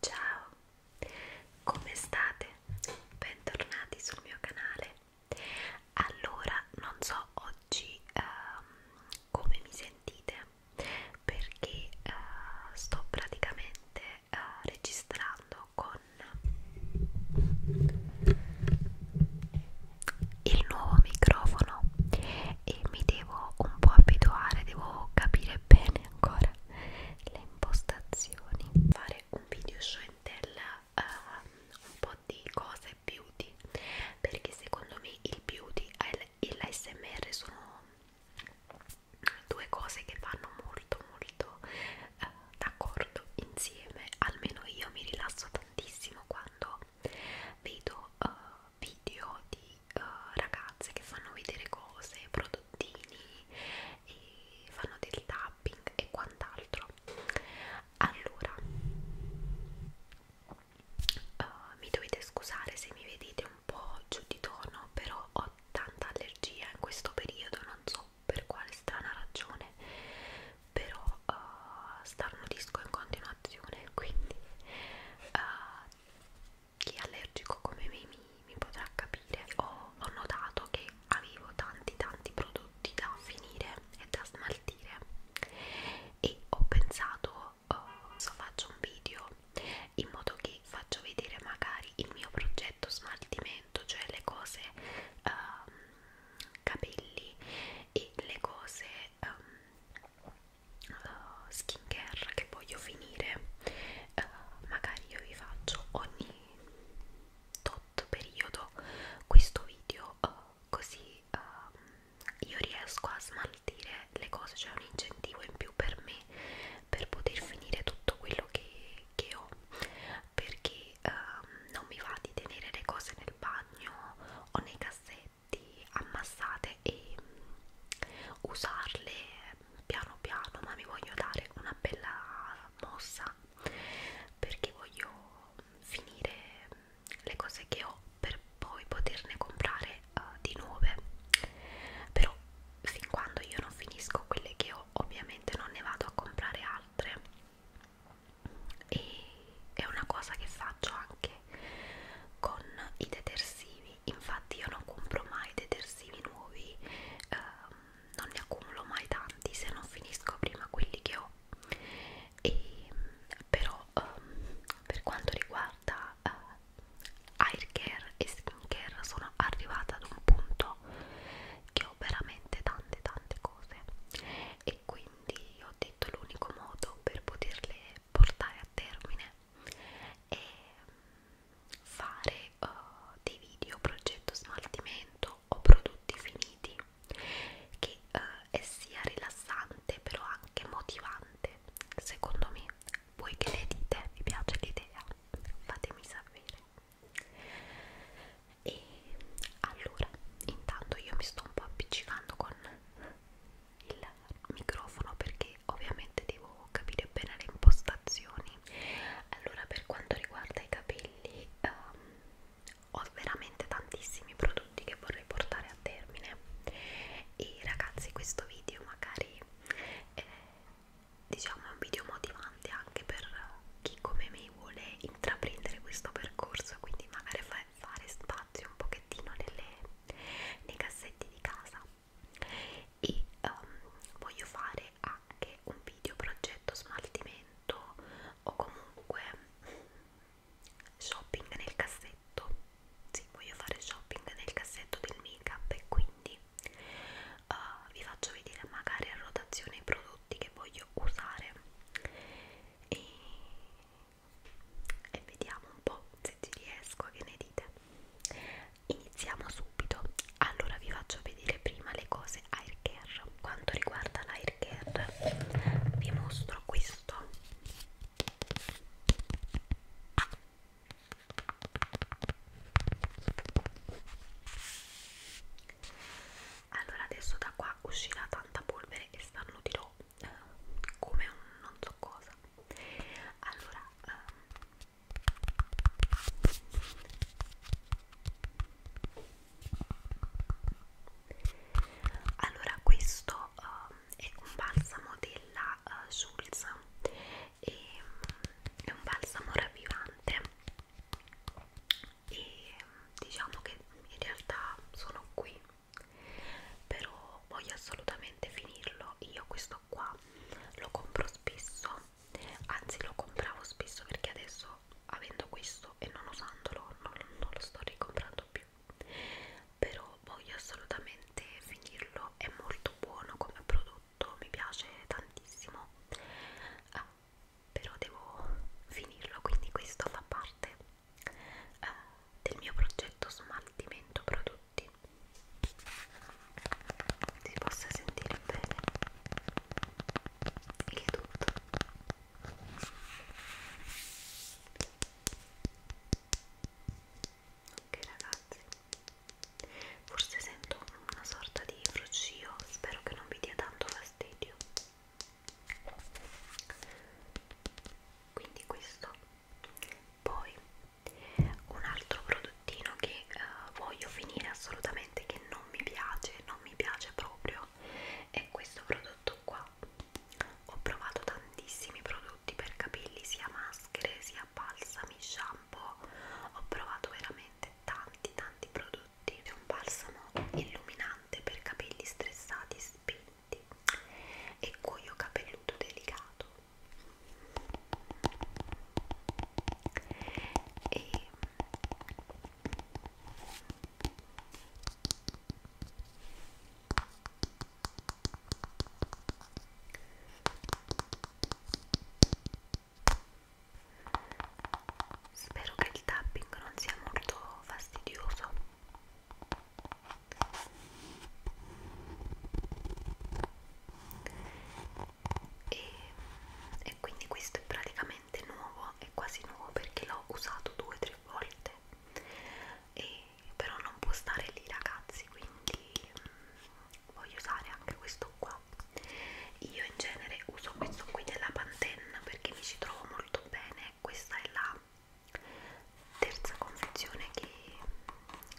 Ciao, come state? Bentornati sul mio canale. Allora, non so oggi um, come mi sentite perché uh, sto praticamente uh, registrando con il nuovo microfono e mi devo un po' abituare, devo capire bene ancora le impostazioni fare un video scentel uh, eh, un po' di cose beauty perché secondo me il beauty e l'ASMR sono due cose che vanno molto molto uh, d'accordo insieme almeno io mi rilasso tantissimo quando vedo uh, video di uh, ragazze che fanno vedere cose, prodottini e fanno del tapping e quant'altro. Allora, uh, mi dovete scusare se mi vedete un po' giù di tono, però ho tanta allergia in questo periodo, non so per quale strana ragione, però uh, eh, starnudisco in continuazione, quindi uh, chi è allergico come me mi, mi potrà capire ho, ho notato che avevo tanti tanti prodotti da finire e da smaltire e ho pensato oh, so faccio un video in modo che faccio vedere magari il mio progetto smaltimento cioè le cose um, capelli e le cose um, uh, skincare che voglio finire uh, magari io vi faccio ogni tot periodo questo video uh, così uh, io riesco a smaltire le cose cioè un incentivo in più per me per poter finire tutto quello che, che ho perché uh, non mi va di tenere le cose nel bagno o nei cassetti ammassate e mm, usarle piano piano ma mi voglio dare una bella mossa perché voglio finire le cose che ho per poi poterne comprare uh, di nuove però fin quando io non finisco quelle che ho ovviamente non ne vado a comprare altre e è una cosa che faccio anche con i detersivi infatti io non compro mai detersivi nuovi ehm, non ne accumulo mai tanti se non finisco prima quelli che ho e, però ehm, per quanto riguarda eh, hair care e skin care sono arrivata ad un punto che ho veramente tante tante cose e quindi ho detto l'unico modo per poterle portare a termine e mm, fare uh, dei video progetto smaltimento o prodotti finiti che uh, è sia rilassante però anche motivante secondo me voi che ne dite vi piace l'idea fatemi sapere e allora intanto io mi sto un po' appiccicando con il microfono perché ovviamente devo capire bene le impostazioni allora per quanto riguarda i capelli um, ho veramente tantissimi prodotti che vorrei portare a termine e ragazzi questo video magari eh, diciamo è un video motivante anche per chi come me vuole intraprendere questo percorso quindi magari fa, fare spazio un pochettino nelle, nei cassetti di casa e um, voglio fare anche un video progetto smaltimento o comunque shopping nel cassetto sì, voglio fare shopping nel cassetto del make up e quindi uh, vi faccio vedere magari a rotazione i prodotti che voglio usare e, e vediamo un po' se ci riesco, che ne dite? iniziamo subito allora vi faccio vedere prima le cose air care quanto riguarda l'air care vi mostro questo allora adesso da qua uscirà tanta polvere e stanno dirò eh, come un non so cosa allora um, allora questo um, è un balsamo della uh, eh, Schulz e, um, è un balsamo ravvivante e ehm, diciamo che in realtà sono qui però voglio assolutamente finirlo io questo questo qua lo compro spesso anzi lo compravo spesso perché adesso avendo questo e non usandolo non, non lo sto ricomprando più però voglio assolutamente finirlo è molto buono come prodotto mi piace tantissimo ah, però devo finirlo quindi questo fa parte eh, del mio progetto smaltimento prodotti si possa sentire bene il tutto ok ragazzi forse sento una sorta di fruscio spero che non vi dia tanto fastidio quindi questo poi un altro prodottino che uh, voglio finire assolutamente, che non mi piace, non mi piace proprio, è questo prodotto qua. Ho provato tantissimi prodotti per capelli, sia maschere, sia balsami, shampoo. Ho provato veramente tanti tanti prodotti. C'è un balsamo illuminante per capelli stressati, spinti lenti e cuoio capelluto delicato e mm, Spero che il tapping non sia molto fastidioso e, e quindi questo è praticamente nuovo è quasi nuovo perché l'ho usato due o tre volte e però non può stare lì ragazzi quindi mh, mm, voglio usare anche questo qua io in genere uso questo qui della Pantene perché mi ci trovo molto bene questa è la terza confezione che,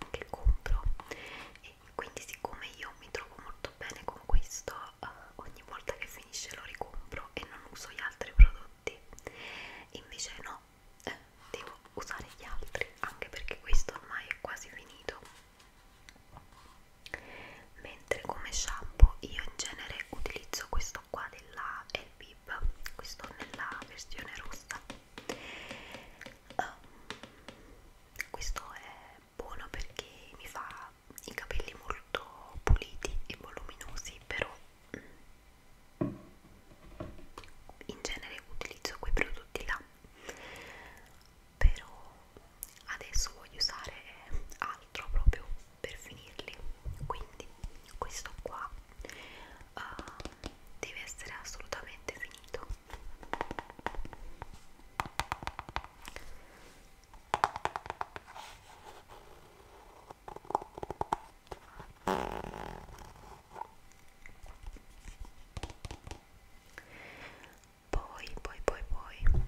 che compro e quindi siccome io mi trovo molto bene con questo eh, ogni volta che finisce lo ricompro e non uso gli altri prodotti invece no eh, devo usare gli altri anche perché questo ormai è quasi finito mentre come shampoo io in genere utilizzo questo qua della LB Lip questo nella versione rossa um, questo è buono perché mi fa i capelli molto puliti e voluminosi però mm, in genere utilizzo quei prodotti là però adesso voglio usare altro proprio per finirli quindi questo qua uh, deve essere assolutamente finito poi poi poi poi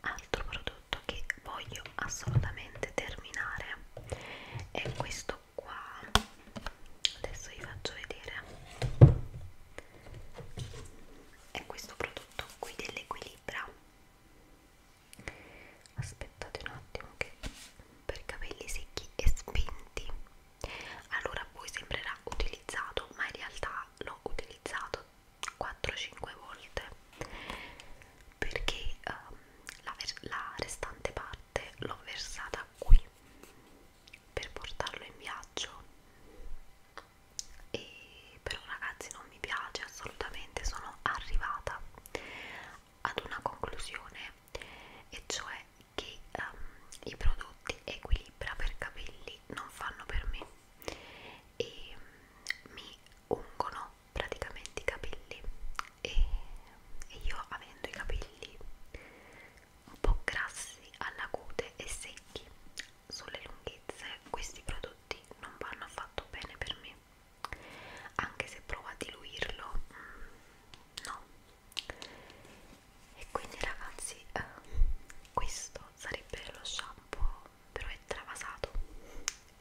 altro prodotto che voglio assolutamente terminare è questo questo qua adesso vi faccio vedere è questo prodotto qui dell'equilibra aspettate un attimo che per capelli secchi e spenti allora a voi sembrerà utilizzato ma in realtà l'ho utilizzato 4-5 volte perché um, la, la restante parte l'ho versata qui per portarlo in viaggio e però ragazzi non mi piace assolutamente sono arrivata ad una conclusione e cioè che um, i prodotti equilibra per capelli non fanno per me e um, mi ungono praticamente i capelli e, e io avendo i capelli un po' grassi alla cute e secchi sulle lunghezze questi prodotti non vanno affatto bene per me anche se provo a diluirlo mm, no e quindi ragazzi eh, questo sarebbe lo shampoo però è travasato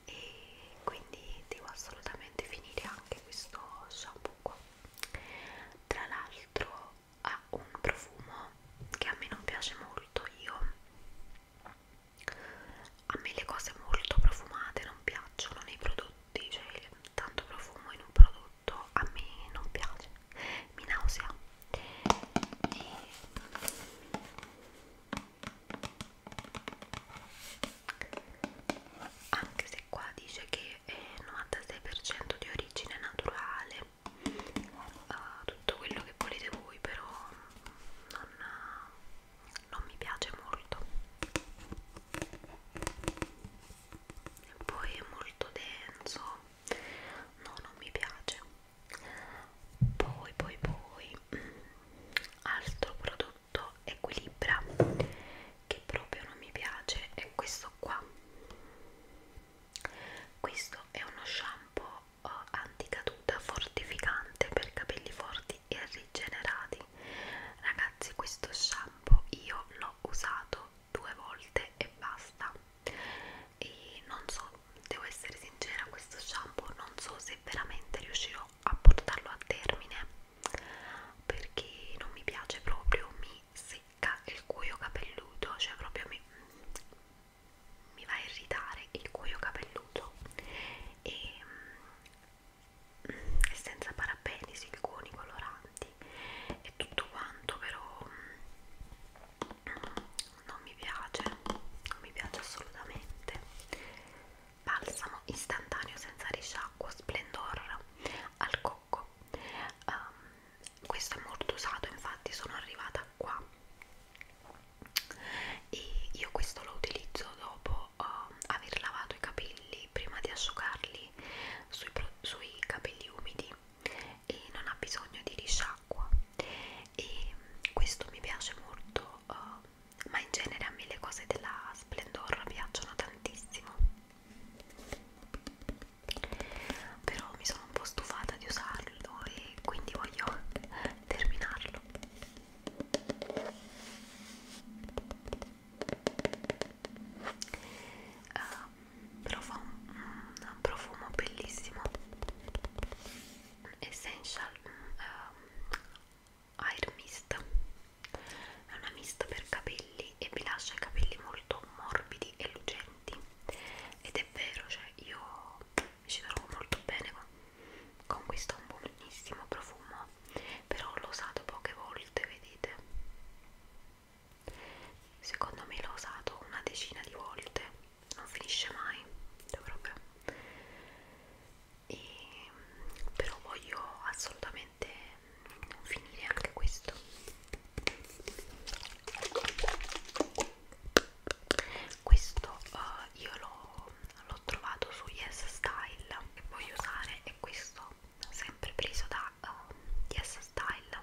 e quindi devo assolutamente finire anche questo shampoo qua tra l'altro ha un profumo che a me non piace molto io a me le cose molto profumate non piacciono nei prodotti cioè tanto profumo in un prodotto a me non piace mi nausea e anche se qua dice che è 96% di origine naturale uh, tutto quello che volete voi però non, non mi piace molto e poi è molto denso no non mi piace poi poi poi altro prodotto prodotto equilibra che proprio non mi piace è questo qua questo è uno shampoo eh, anticaduta fortificante per capelli forti e rigenerati ragazzi questo shampoo io l'ho usato due volte e basta e non so devo essere sincera questo shampoo non so se veramente riuscirò a portarlo a termine perché non mi piace proprio, mi secca il cuoio capelluto, cioè proprio mi, mi va a irritare il cuoio capelluto e, mm, e senza parabeni, siliconi, coloranti e tutto quanto però mm, non mi piace, non mi piace assolutamente balsamo istantaneo senza risciacquo splendor al cocco um, questo è molto usato infatti sono arrivata qua e io questo lo utilizzo dopo um, aver lavato i capelli prima di asciugarli sui, sui capelli umidi e non ha bisogno di risciacqua e questo mi piace molto uh, ma in genere a me le cose della Splendor piacciono tantissimo però mi sono un po' stufata di usarlo e quindi voglio terminarlo uh, però fa un, un profumo bellissimo Essential um, Air Mist è una mista per capelli e vi lascia i capelli molto morbidi e lucenti ed è vero, cioè io mi ci trovo molto bene con, con questo un buonissimo profumo però l'ho usato poche volte, vedete secondo me l'ho usato una decina di volte non finisce mai proprio e, però voglio assolutamente finire anche questo questo uh, io l'ho trovato su Yes Style che voglio usare è questo sempre preso da uh, Yes Style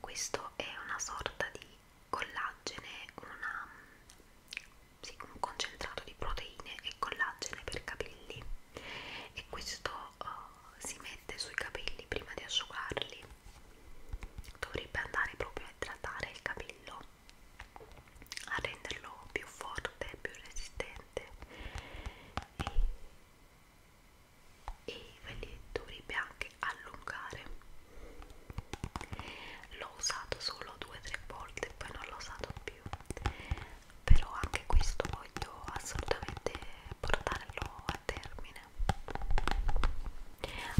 questo è una sorta di collagene una sì, un concentrato di proteine e collagene per capelli e questo uh, si mette sui capelli prima di asciugarli dovrebbe andare proprio a idratare il capello a renderlo più forte, più resistente e, e ve li dovrebbe anche allungare l'ho usato solo due o tre volte poi non l'ho usato più però anche questo voglio assolutamente portarlo a termine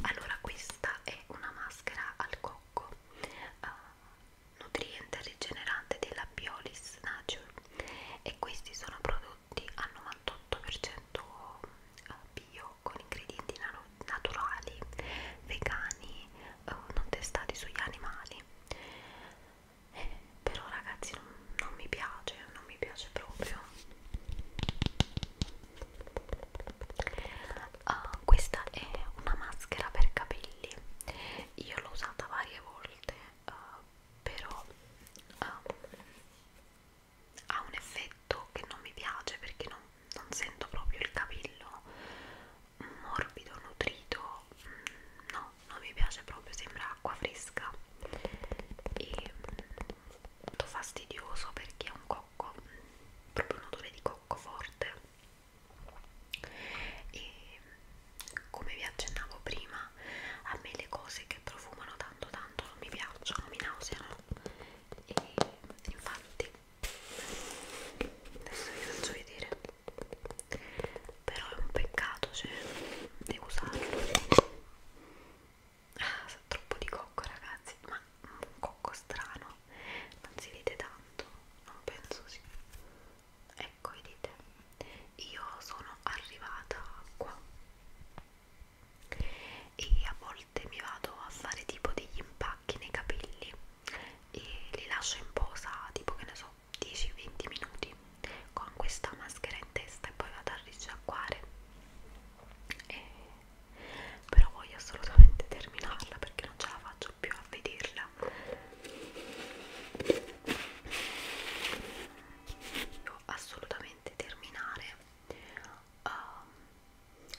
allora questa è una maschera al cocco uh, nutriente rigenerante della Biolis Nature e questi sono prodotti al 98% eh, bio con ingredienti naturali vegano, naturali, vegani, eh, non testati sugli animali. Eh, però ragazzi non, non mi piace, non mi piace proprio. Uh, questa è una maschera per capelli, io l'ho usata varie volte, uh, però uh, ha un effetto che non mi piace perché non non sento proprio il capello morbido, nutrito, mm, no, non mi piace proprio, sembra acqua fresca e mm, molto fastidioso perché è un cocco, proprio un odore di cocco forte e mm, come vi accennavo prima a me le cose che profumano tanto tanto non mi piacciono, mi nauseano e infatti adesso vi faccio vedere però è un peccato cioè devo usarlo ah sa troppo di cocco ragazzi ma un cocco strano non si vede tanto non penso sì ecco vedete io sono arrivata qua e a volte volte mi vado a fare tipo degli impacchi nei capelli e li lascio in posa tipo che ne so 10-20 minuti con questa maschera in testa e poi vado a risciacquare e... però voglio assolutamente terminarla perché non ce la faccio più a vederla devo assolutamente terminare um,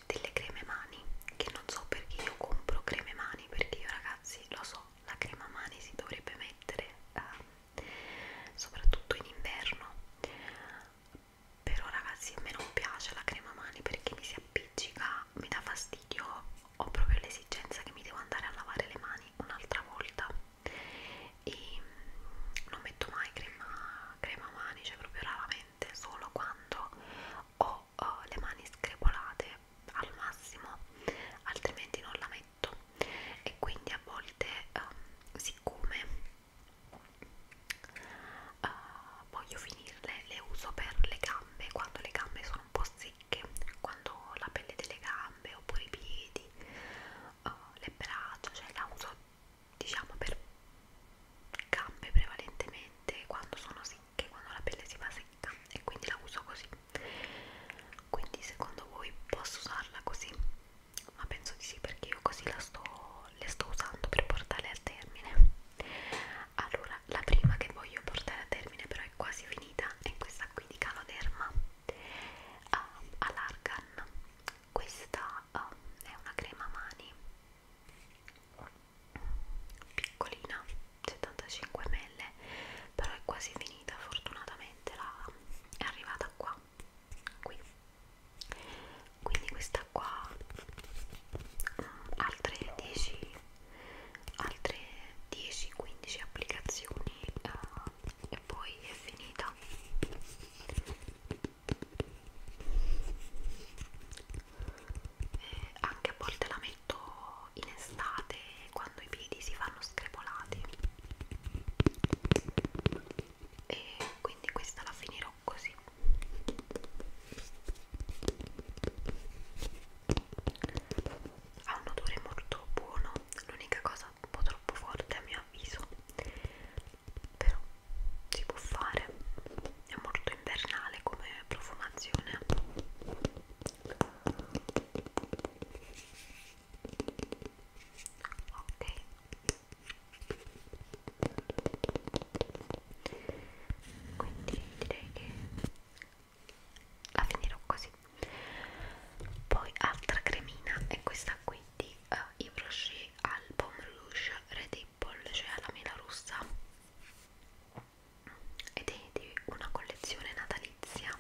delle creme mani che non so perché io compro creme mani perché io ragazzi lo so la crema mani si dovrebbe mettere eh, soprattutto in inverno però ragazzi a me non piace la crema mani perché mi si appiccica mi dà fastidio ho proprio l'esigenza che mi devo andare a lavare le mani un'altra volta e mm, non metto mai crema, crema mani cioè proprio raramente solo quando ho uh, le mani screpolate al massimo, altrimenti non la metto e quindi a volte uh, siccome uh, voglio finirle le uso per le gambe quando le gambe sono un po' secche, quando ho la pelle delle gambe oppure i piedi, uh, le braccia, cioè la uso diciamo per gambe prevalentemente quando sono secche, quando la pelle si fa secca e quindi la uso così quindi secondo voi posso usarla così? ma penso di sì perché io così la sto, le sto usando per portarle a termine allora la prima che voglio portare a termine però è quasi finita è questa qui di Caloderma all'argan ah, questa um, è una crema mani piccolina 75 ml però è quasi finita fortunatamente la, è arrivata qua qui quindi questa qua mm, altre 10 altre 10-15 applicazioni uh, e poi è finita e eh, anche a volte la metto in estate quando i piedi si fanno screpolati e quindi questa la finirò così ha un odore molto buono l'unica cosa un po' troppo forte a mio avviso però si può fare è molto invernale come profumazione ok quindi direi che la finirò così poi altra cremina è questa qui di uh, eh, Yves Rocher al Pomme Rouge Red Apple cioè alla mela rossa ed è di una collezione natalizia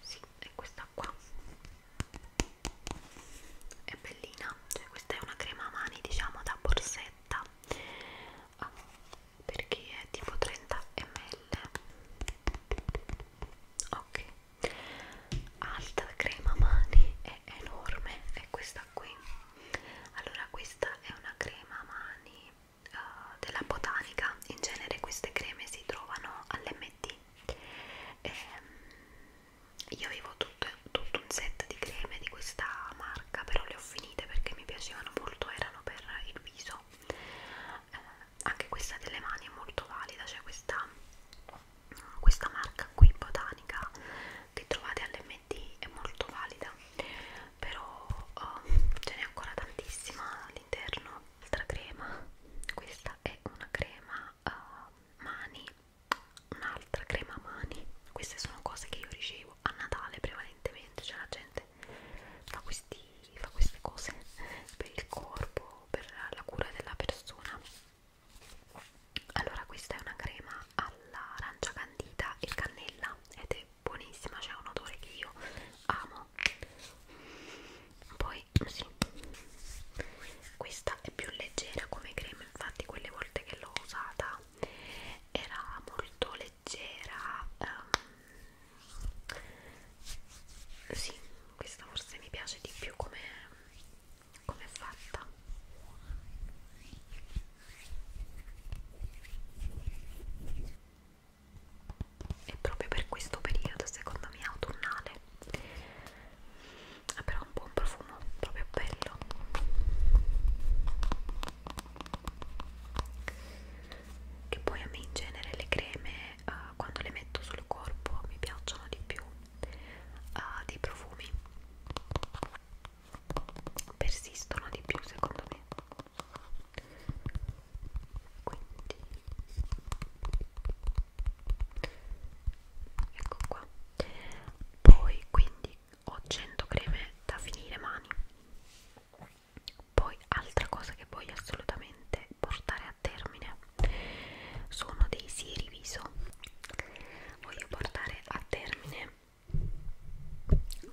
sì, è questa qua è bellina, cioè questa è una crema a mani diciamo da borsetta ah, perché è tipo 30 ml ok alta crema mani è enorme è questa qui allora questa è una crema mani uh, della botanica in genere queste creme si trovano all'MT ehm, io avevo tutto, tutto un set di creme di questa marca però le ho finite perché mi piacevano molto erano per il viso eh, anche questa delle mani è molto valida cioè questa questa marca qui botanica che trovate all'MD è molto valida però oh, ce n'è ancora tantissima all'interno altra crema questa è una crema uh, mani un'altra crema mani queste sono cose che io ricevo a Natale prevalentemente cioè la gente fa, questi, fa queste cose per il corpo per la cura della persona allora questa è una crema all'arancia candita e cannella ed è buonissima c'è un odore che io amo poi sì questa è più leggera come crema infatti quelle volte che l'ho usata era molto leggera um, sì questa forse mi piace di più come Com'è fatta? E proprio per questo periodo, secondo me, autunnale. Ha ah, però un buon profumo, proprio bello. Che poi a me in genere le creme, uh, quando le metto sul corpo, mi piacciono di più uh, dei profumi persistono di più secondo me quindi ecco qua poi quindi ho 100 creme da finire mani poi altra cosa che voglio assolutamente portare a termine sono dei sieri viso voglio portare a termine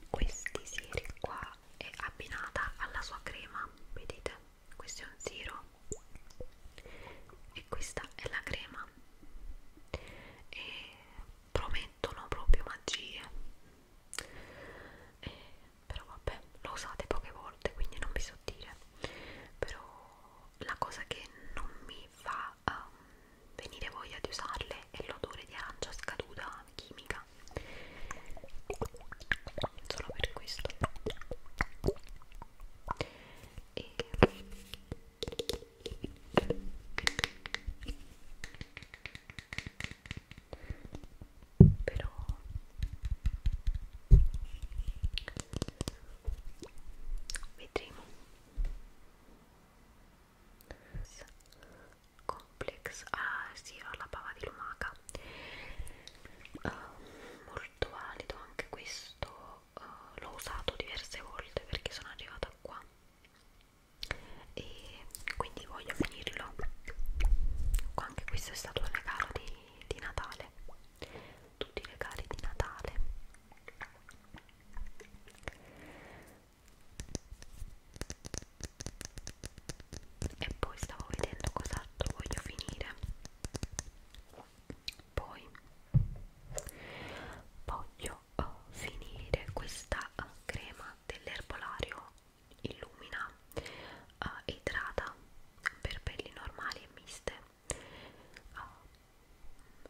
questi sieri qua è abbinata alla sua crema vedete questo è un siero e questa è la crema e promettono proprio magie e, eh, però vabbè lo usate poche volte quindi non vi so dire però la cosa che non mi fa um, venire voglia di usarle è l'odore di arancia scaduta chimica solo per questo e però vedremo complex ah sì ho la bava di lumaca uh, molto valido anche questo uh, l'ho usato diverse volte perché sono arrivata qua e quindi voglio finirlo anche questo è stato un regalo di, di Natale tutti i regali di Natale e poi stavo vedendo cos'altro voglio finire poi voglio eh, finire questa eh, crema dell'erbolario illumina uh, idrata per pelli normali e miste uh,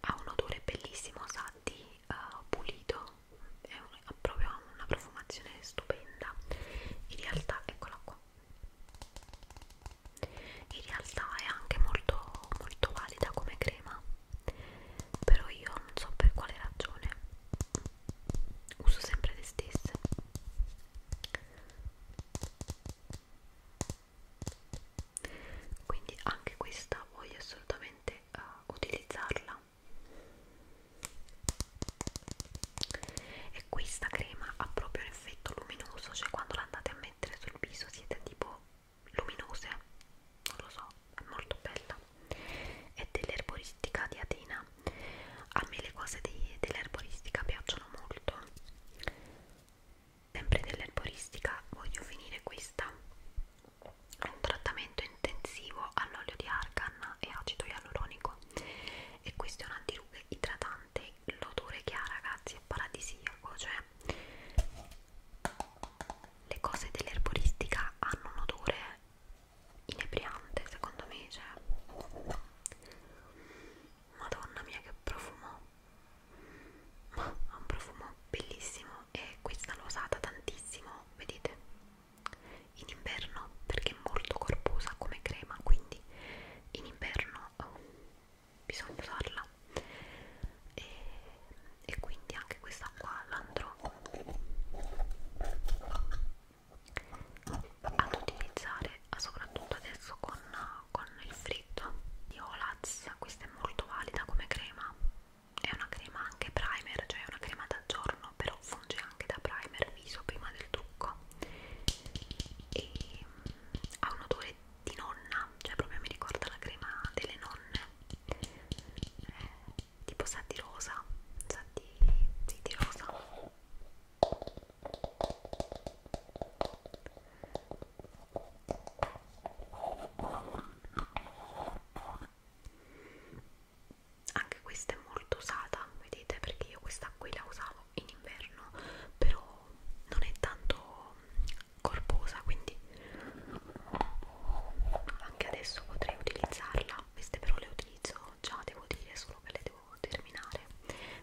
ha un odore bellissimo, sa di uh, eh, pulito, è un, ha proprio una profumazione stupenda. In realtà, eccola qua. In realtà è anche molto, molto valida come crema, però io non so per quale ragione uso sempre le stesse quindi anche questa voglio assolutamente uh, utilizzarla e questa crema ha proprio un effetto luminoso cioè quando la andate a mettere sul viso siete tipo luminose non lo so è molto bella è dell'erboristica di Atena a me le cose dell'erboristica piacciono molto sempre dell'erboristica voglio finire questa è un trattamento intensivo all'olio di argan e acido ialuronico e questo è un antirughe idratante l'odore che ha ragazzi è paradisiaco cioè le cose dell'erboristica hanno un odore inebriante secondo me cioè madonna mia che profumo ma ha un profumo bellissimo e questa l'ho usata tantissimo vedete in inverno perché è molto corposa come crema quindi in inverno oh, bisogna usarla e, e quindi anche questa qua l'andrò ad utilizzare soprattutto adesso con con il fritto di Olaz, questa è molto valida come crema, è una crema anche primer, cioè una crema da giorno, però funge anche da primer viso prima del trucco e mm, ha un odore di nonna, cioè proprio mi ricorda la crema delle nonne, eh, tipo sa di rosa, sa di, sì, di rosa anche questa è molto usata, vedete, perché io questa qui la usavo in inverno, però non è tanto corposa, quindi anche adesso potrei utilizzarla. Queste però le utilizzo già, devo dire, solo che le devo terminare.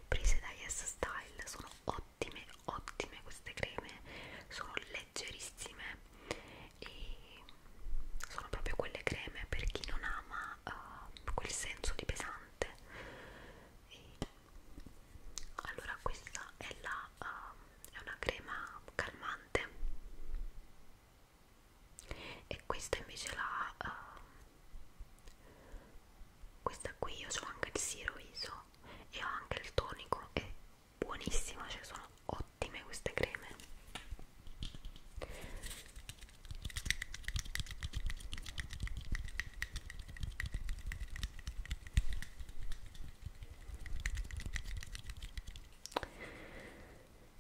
Prise da Yes Style sono ottime ottime ottime queste creme sono leggerissime e sono proprio quelle creme per chi non ama uh, quel senso di pesante e allora questa è la uh, è una crema calmante e questa invece è la uh, questa qui io ho anche il siro iso e ho anche il tonico è buonissima cioè sono ottime queste creme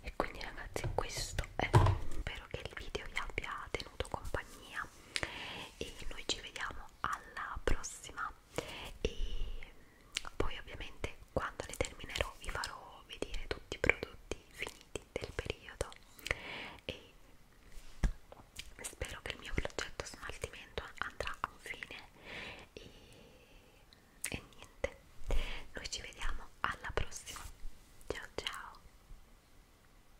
e quindi ragazzi questo è spero che il video vi abbia tenuto compagnia e noi ci vediamo alla prossima e poi ovviamente quando le terminerò vi farò vedere tutti i prodotti finiti del periodo e spero che il mio progetto smaltimento andrà a fine e, e niente noi ci vediamo alla prossima ciao ciao